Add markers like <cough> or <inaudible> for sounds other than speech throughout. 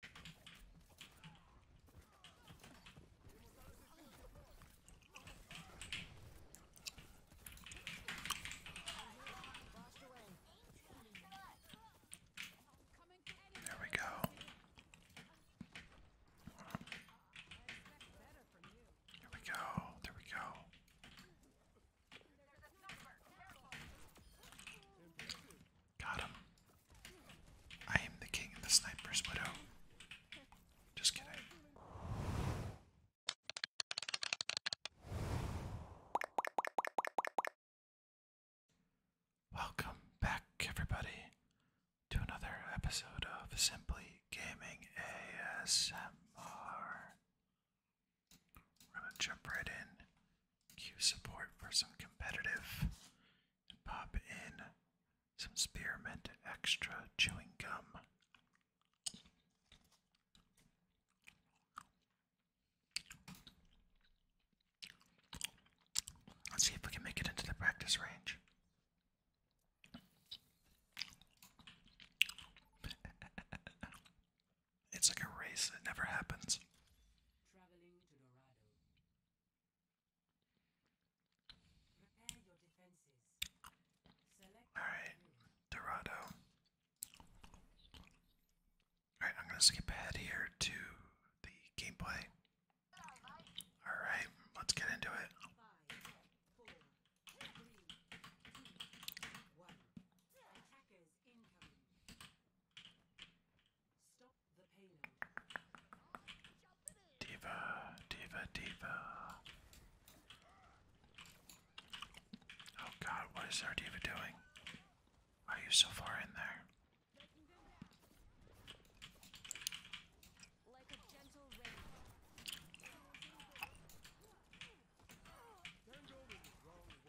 There we go. There we go. There we go. Got him. I am the king of the sniper's widow. Just kidding. Welcome back, everybody, to another episode of Simply Gaming ASMR. We're gonna jump right in Q support for some competitive. pop in some spearmint extra chewing gum. Let's see if we can make it into the practice range. <laughs> It's like a race that never happens. All right, Dorado. All right, I'm gonna skip ahead here to the gameplay. All right, let's get into it. Stop the payload. Diva, diva, diva. Oh god, what is our diva doing? are you so far in there?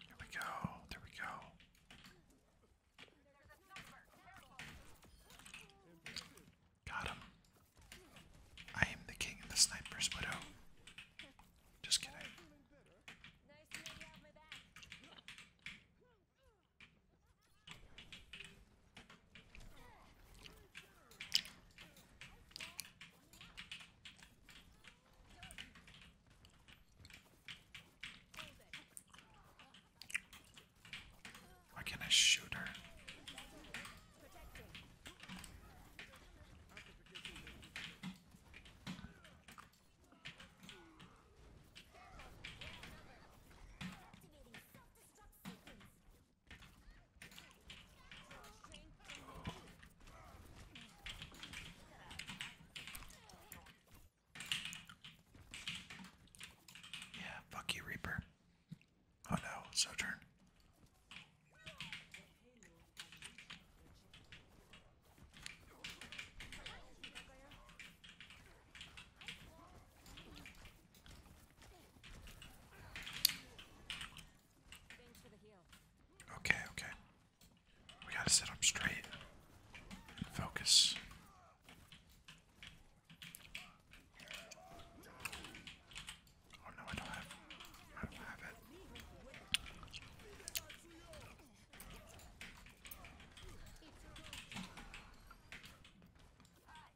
There we go. There we go. Got him. I am the king of the sniper's widow. Just kidding. Why can't I shoot her? Yeah, fuck you, Reaper. Oh no, Sojourn. Okay, okay. We gotta sit up straight. And focus. Oh no, I don't have I don't have it.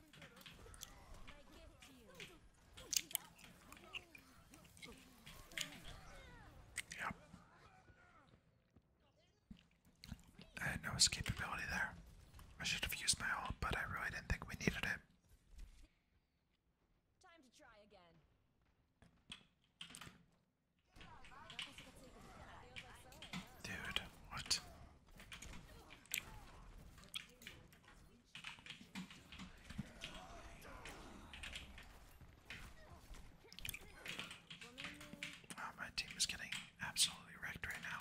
Yep. I had no escapability there. I should have used my ult, but I really didn't think we needed it. Dude, what? Oh, my team is getting absolutely wrecked right now.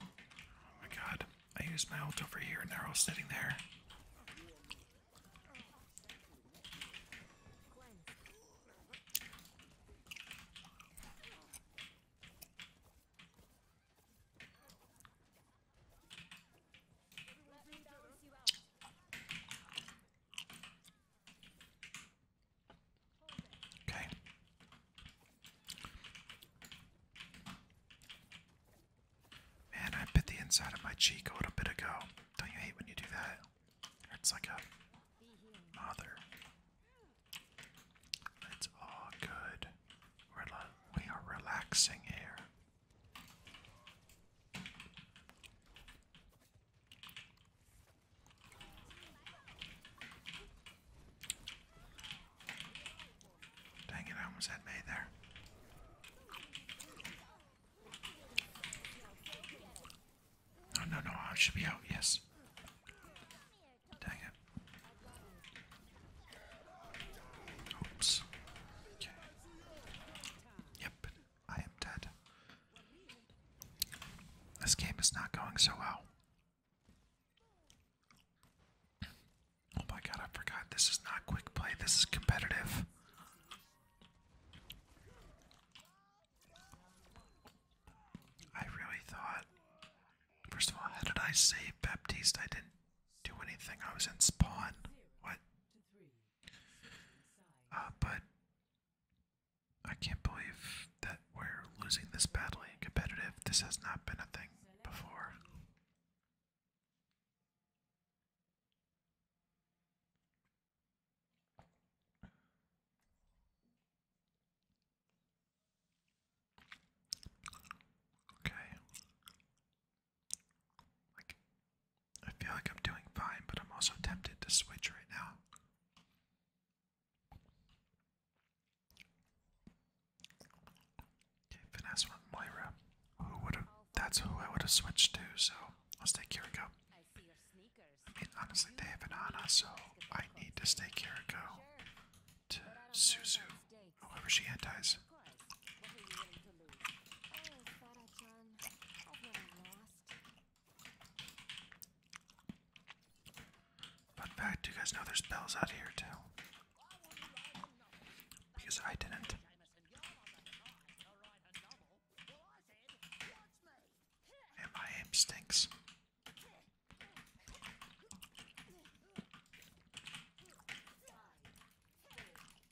Oh my god. I used my ult over here and they're all sitting there. Okay. Man, I bit the inside of my cheek a little bit ago. Don't you hate when you do that? It's like a mother. It's all good. We're we are relaxing here. Dang it, I almost had May there. No, oh, no, no, I should be out, yes. Dang it. Oops. Okay. Yep, I am dead. This game is not going so well. Oh my god, I forgot. This is not quick play, this is competitive. I really thought. First of all, how did I save Baptiste? I didn't do anything. I was in spawn. What? Uh, but I can't believe that we're losing this badly and competitive. This has not been a thing before. Okay. Like I feel like I'm doing fine, but I'm also tempted to switch right now. Okay, finesse Moira. Who would have? That's who I would have switched to. So let's take Kiriko. I mean, honestly, they have an so I need to stay Kiriko to Suzu, however she antis. Fun fact, you guys know there's bells out here too. Because I didn't. And my aim stinks.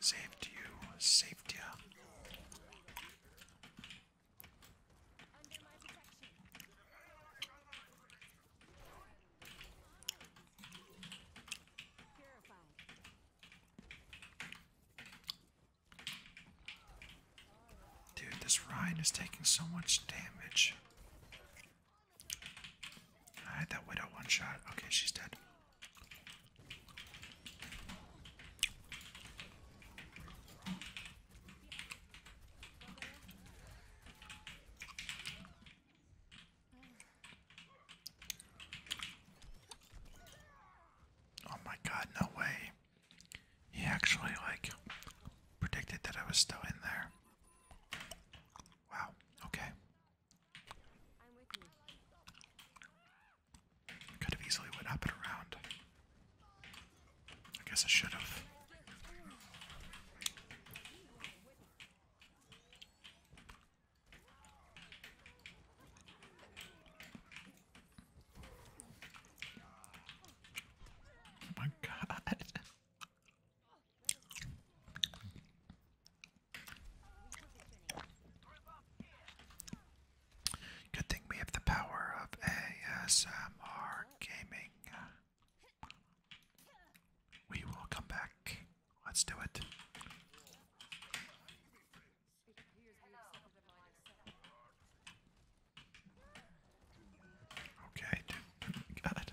Safety, you, Dude, this ride is taking so much damage. I had that widow one shot. Okay, she's dead. Oh my god, no way. He actually, like, predicted that I was still in there. Wow, okay i Could have easily went up and around. I guess I should have. Oh my <laughs> god. Good thing we have the power of ASMR gaming. We will come back. Let's do it. Okay, dude. <laughs> God.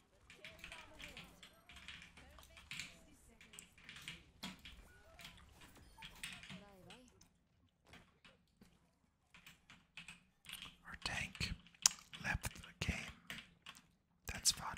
Our tank left the game. That's fun.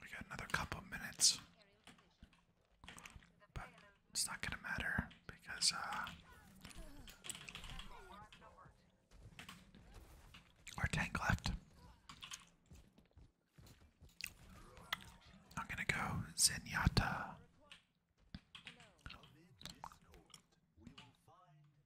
We got another couple minutes. But it's not gonna matter because uh our tank left. I'm gonna go Zenyatta.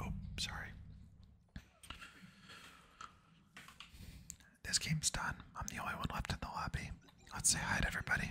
oh, sorry. This game's done. I'm the only one left in the lobby. Let's say hi to everybody.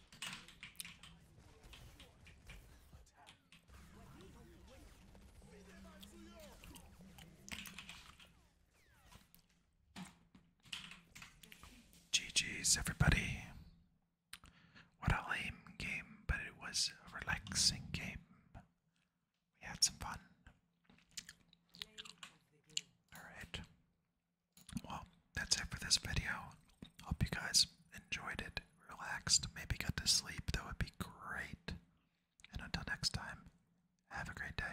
GG's, everybody. What a lame game, but it was a relaxing game. We had some fun. Alright. Well, that's it for this video. Hope you guys enjoyed it, relaxed, maybe got to sleep. That would be great. And until next time, have a great day.